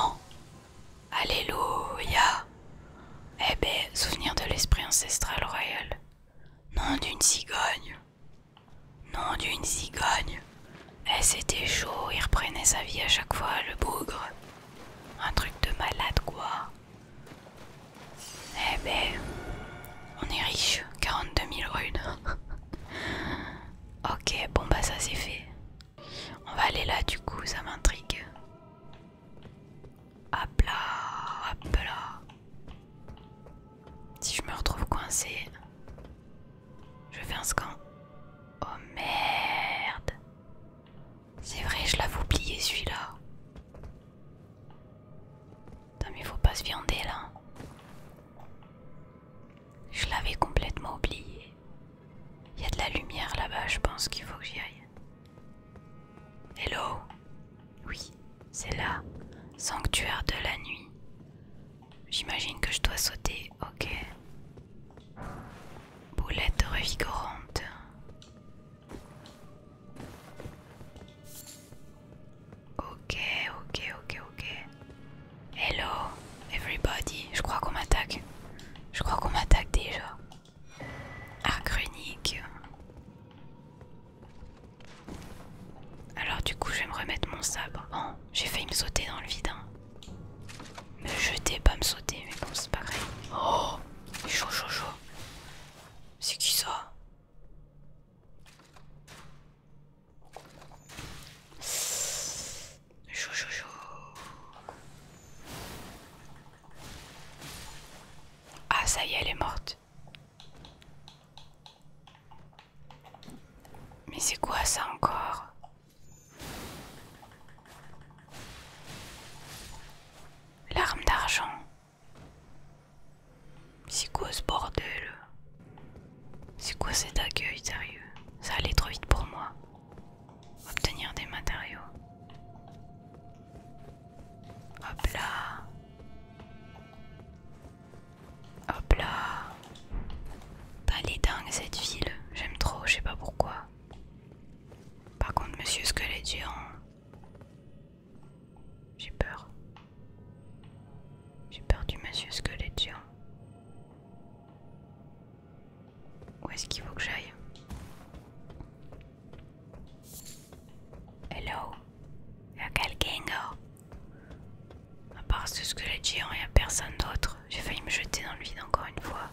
Alléluia. Eh ben, souvenir de l'esprit ancestral royal. Nom d'une cigogne. Nom d'une cigogne. Et c'était chaud, il reprenait sa vie à chaque fois, le bougre. Un truc de malade, quoi. Eh ben, on est riche, 42 000 runes. (laughs) ok, bon bah ça c'est fait. On va aller là du coup, ça m'intrigue. Hop là, hop là. Si je me retrouve coincé. Je fais un scan. Oh merde. C'est vrai, je l'avais oublié celui-là. Putain, mais faut pas se viander là. Je l'avais complètement oublié. Il y a de la lumière là-bas, je pense qu'il faut que j'y aille. Hello Oui, c'est là. Sanctuaire de la nuit. J'imagine que je dois sauter, ok. Boulette revigorante. Ok, ok, ok, ok. Hello, everybody. Je crois qu'on m'attaque. Je crois qu'on m'attaque déjà. Arcrunique. Alors du coup, je vais me remettre mon sabre. Oh, j'ai failli me sauter dans le vide. Hein me jeter, pas me sauter, mais bon, c'est pas grave. Oh, Chou-chou-chou C'est qui ça Chou-chou-chou Ah, ça y est, elle est morte. Mais c'est quoi ça encore L'arme d'argent. C'est quoi ce bordel C'est quoi cet accueil sérieux Ça allait trop vite pour moi. Obtenir des matériaux. Hop là. Hop là elle est dingue cette ville, j'aime trop, je sais pas pourquoi. Par contre, monsieur squelette géant. J'ai peur. J'ai peur du monsieur squelette Où est-ce qu'il faut que j'aille Hello Y'a quelqu'un À part ce squelette géant, y'a personne d'autre. J'ai failli me jeter dans le vide encore une fois.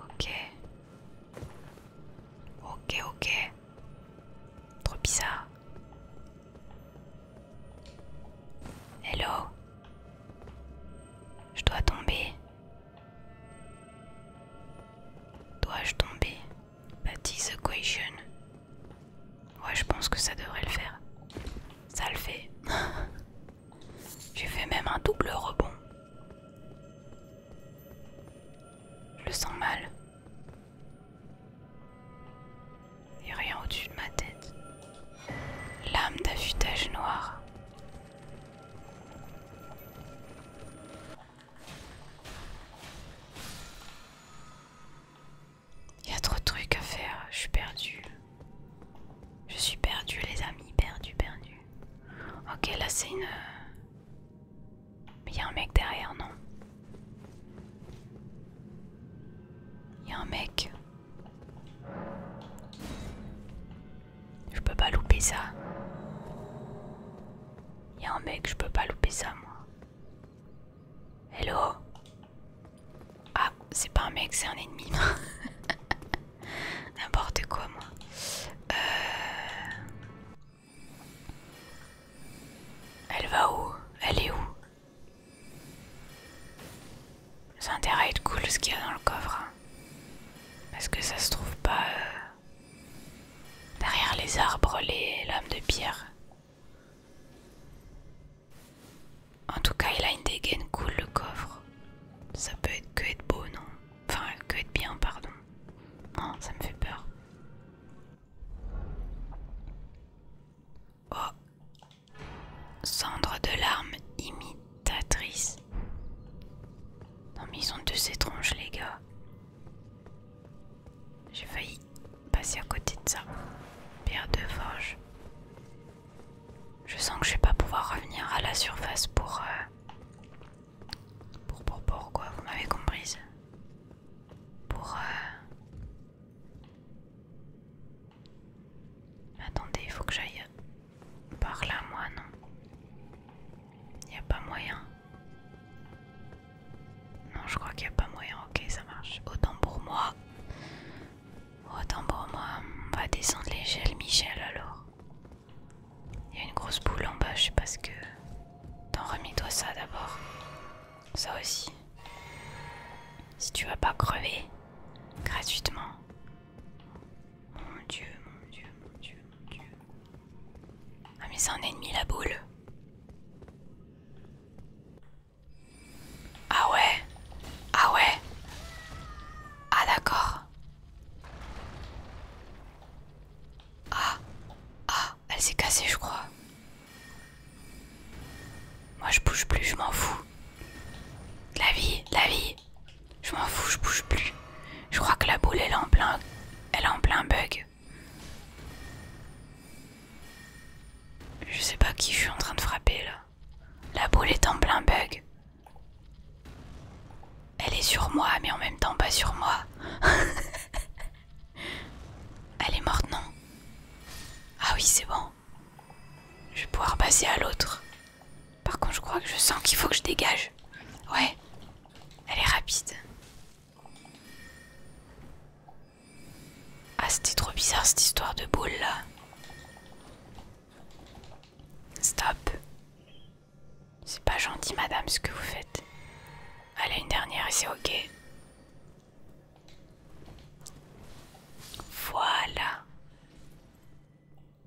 Ok. Ok, ok. Trop bizarre. Hello. Je dois tomber. Dois-je tomber? Bah, That is a question. Ouais, je pense que ça devrait le faire. Ça le fait. (laughs) J'ai fait même un double rebond. Je le sens mal. Il a rien au-dessus de ma tête. Lame d'affûtage noir. Il y a trop de trucs à faire, je suis perdue. Je suis perdu les amis, perdu, perdu. Ok, là c'est une... Mais il y a un mec derrière, non Il y a un mec. Je peux pas louper ça. Il y a un mec, je peux pas louper ça moi. Hello ah, c'est pas un mec, c'est un ennemi. (laughs) N'importe quoi, moi. Euh, elle va où Elle est où Ça intérêt à être cool ce qu'il y a dans le coffre. Hein. Parce que ça se trouve pas euh, derrière les arbres, les lames de pierre. En tout cas, il a une dégaine cool le coffre. Ça peut être que être beau, non Enfin, que être bien, pardon. Non, ça me fait peur. Oh Cendre de larmes imitatrice. Non mais ils ont deux étranges les gars. J'ai failli passer à côté de ça. Pierre de forge. Je sens que je vais pas pouvoir revenir à la surface pour... Euh, pour, pour, quoi, vous m'avez comprise. Pour... Euh, Attendez, il faut que j'aille par là, moi, non Il a pas moyen. Non, je crois qu'il n'y a pas moyen. Ok, ça marche. Autant pour moi. Autant pour moi, on va descendre l'échelle Michel alors. Il y a une grosse boule en bas, je sais pas ce que... T'en remets toi ça d'abord. Ça aussi. Si tu vas pas crever, gratuitement. Mon dieu, mon dieu, mon dieu, mon dieu. Ah mais c'est un ennemi la boule. Ah ouais Ah ouais Ah d'accord. Ah Ah Elle s'est cassée je crois. Moi je bouge plus, je m'en fous. La vie, la vie. Je m'en fous, je bouge plus. Je crois que la boule elle est en plein, elle est en plein bug. Je sais pas qui je suis en train de frapper là. La boule est en plein bug. Elle est sur moi, mais en même temps pas sur moi. (laughs) Elle est morte, non Ah oui, c'est bon. Je vais pouvoir passer à l'autre. Par contre, je crois que je sens qu'il faut que je dégage. Ouais, elle est rapide. Ah, c'était trop bizarre cette histoire de boule là. Stop. C'est pas gentil, madame, ce que vous faites. Allez, une dernière et c'est ok. Voilà.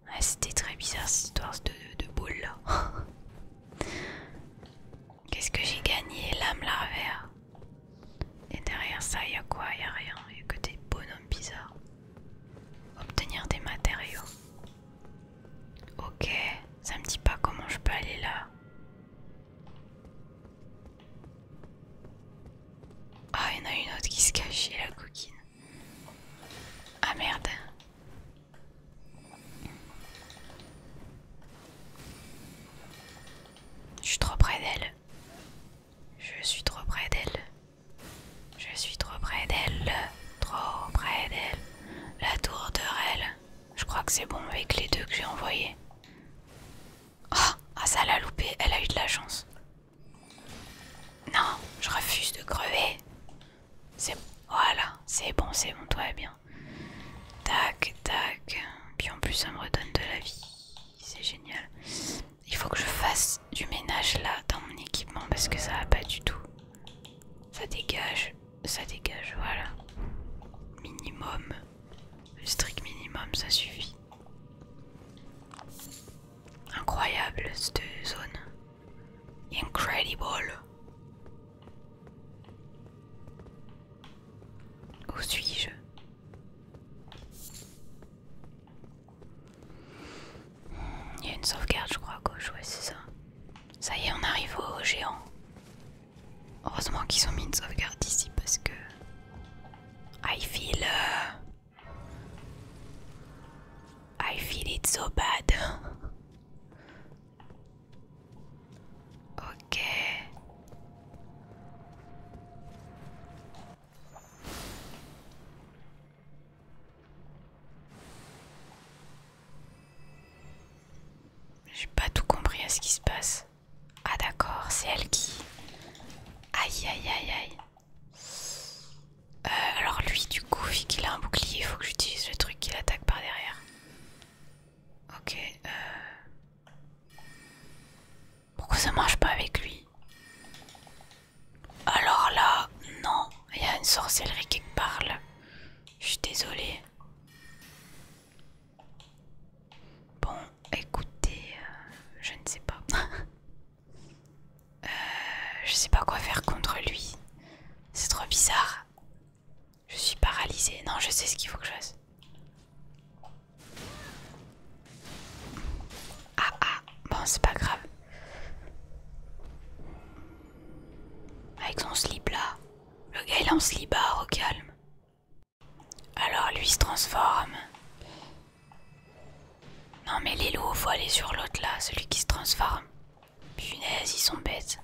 Ah, c'était très bizarre cette histoire de, boule là. (laughs) Qu'est-ce que j'ai gagné L'âme larvaire. Et derrière ça, y'a y a quoi y'a a rien. Il que des bonhommes bizarres. Obtenir des matériaux. Ok, ça me dit pas comment je peux aller là. Ah, il y en a une autre qui se cache, la coquine. Ah merde. Je suis trop près d'elle. Je suis trop près d'elle. Je suis trop près d'elle. Trop près d'elle. La tour de Rel. Je crois que c'est bon avec les deux que j'ai envoyés. Ah, oh, ah, ça l'a loupé. Elle a eu de la chance. Non, je refuse de crever. C'est voilà, c'est bon, c'est bon, toi bien. Tac, tac. Puis en plus, ça me redonne de la vie c'est génial. Il faut que je fasse du ménage là dans mon équipement parce que ça va pas du tout. Ça dégage, ça dégage, voilà. Minimum, le strict minimum, ça suffit. Incroyable cette zone. Incredible. Où suis-je il y a une sauvegarde, je crois, à gauche, ouais, c'est ça. Ça y est, on arrive au géant. Heureusement qu'ils ont mis une sauvegarde ici parce que. I feel. Euh, I feel it so bad. (laughs) ok. J'ai pas tout compris à ce qui se passe. Ah d'accord, c'est elle qui... Aïe aïe aïe aïe. Euh, alors lui du coup, vu qu'il a un bouclier, il faut que j'utilise le truc qui l'attaque par derrière. Ok. Euh... Pourquoi ça marche pas avec lui Alors là, non, il y a une sorcellerie qui parle. Je suis désolée. Bon, écoutez, euh, je ne sais pas. (laughs) Euh, je sais pas quoi faire contre lui. C'est trop bizarre. Je suis paralysée. Non, je sais ce qu'il faut que je fasse. Ah ah, bon c'est pas grave. Avec son slip là. Le gars il est en au calme. Alors lui se transforme. Non mais les loups, faut aller sur l'autre là, celui qui se transforme. Punaise, ils sont bêtes.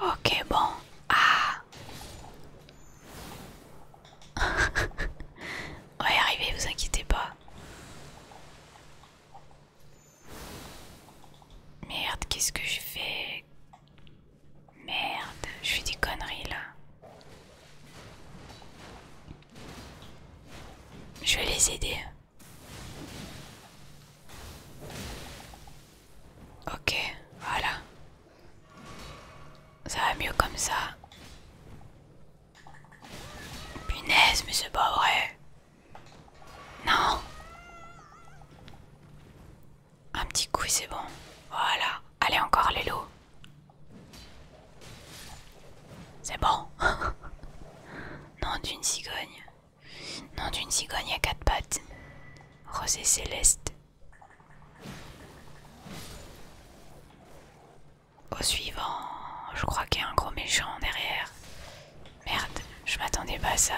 Ok, bon. Ah ouais, arrivez, vous inquiétez pas. Merde, qu'est-ce que je fais Merde, je fais des conneries là. Je vais les aider. Ok, voilà. Ça va mieux comme ça. Punaise, mais c'est pas vrai. Non. Un petit coup c'est bon. Voilà. Allez encore les lots. C'est bon. (laughs) non d'une cigogne. Non d'une cigogne à quatre pattes. Rosée céleste. Au suivant, je crois qu'il y a un gros méchant derrière. Merde, je m'attendais pas à ça.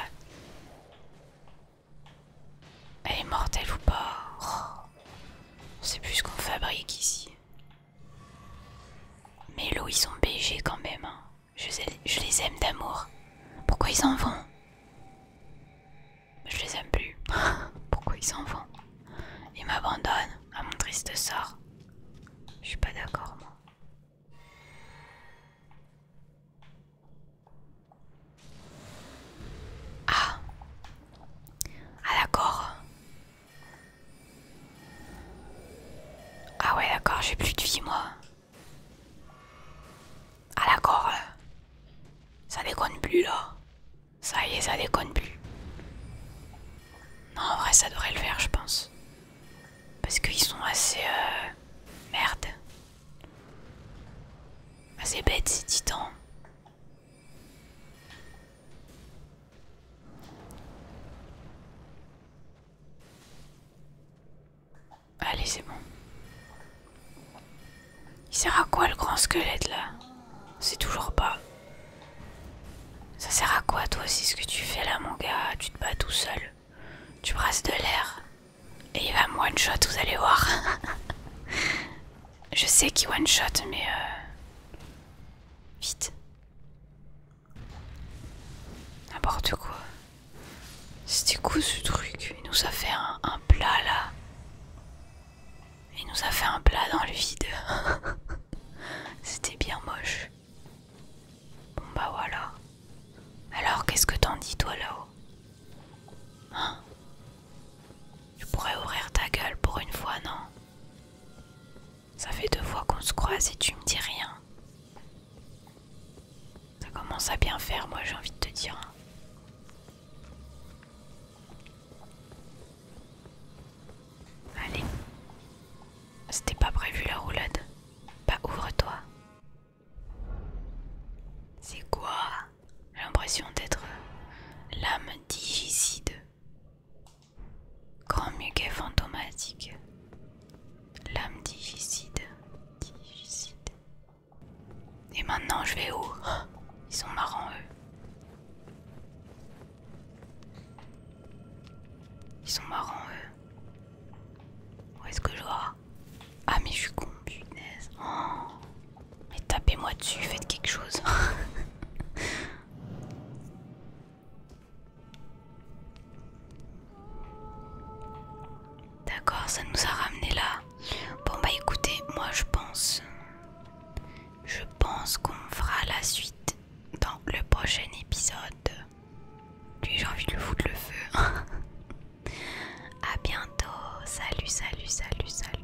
Elle est mortelle ou pas C'est oh, plus ce qu'on fabrique ici. Mais l'eau, ils sont BG quand même. Hein. Je, je les aime d'amour. Pourquoi ils en vont Je les aime plus. (laughs) Pourquoi ils s'en vont Ils m'abandonnent à ah, mon triste sort. Je suis pas d'accord, moi. Ah Ah d'accord Ah ouais d'accord, j'ai plus de vie moi. Ah d'accord là. Ça déconne plus là. Ça y est, ça déconne plus. Non, en vrai, ça devrait le faire, je pense. Parce qu'ils sont assez... Euh, merde. Assez bêtes, ces titans. Allez, c'est bon. Il sert à quoi le grand squelette, là c'est toujours pas. Ça sert à quoi toi aussi ce que tu fais là mon gars Tu te bats tout seul. Tu brasses de l'air. Et il va me one shot, vous allez voir. (laughs) Je sais qu'il one shot mais... Euh, vite. N'importe quoi. C'était quoi ce truc Il nous a fait un plat là. Il nous a fait un plat dans le vide. (laughs) C'était bien moche. Bon bah voilà. Alors qu'est-ce que t'en dis toi là-haut hein Tu pourrais ouvrir ta gueule pour une fois, non Ça fait deux fois qu'on se croise et tu me dis rien. Ça commence à bien faire, moi j'ai envie de te dire. Allez. C'était pas prévu la roulade. Pas bah, ouvre-toi. C'est quoi J'ai l'impression d'être euh, l'âme digicide. Grand muguet fantomatique. L'âme digicide. Digicide. Et maintenant je vais où oh, Ils sont marrants eux. Ils sont marrants, eux. Où est-ce que je vois Ah, mais je suis con, punaise. Oh. Mais tapez-moi dessus, faites quelque chose. (laughs) D'accord, ça nous a ramené là. Bon bah écoutez, moi je pense, je pense qu'on fera la suite dans le prochain épisode puis J'ai envie de le foutre le feu. (laughs) à bientôt. Salut, salut, salut, salut.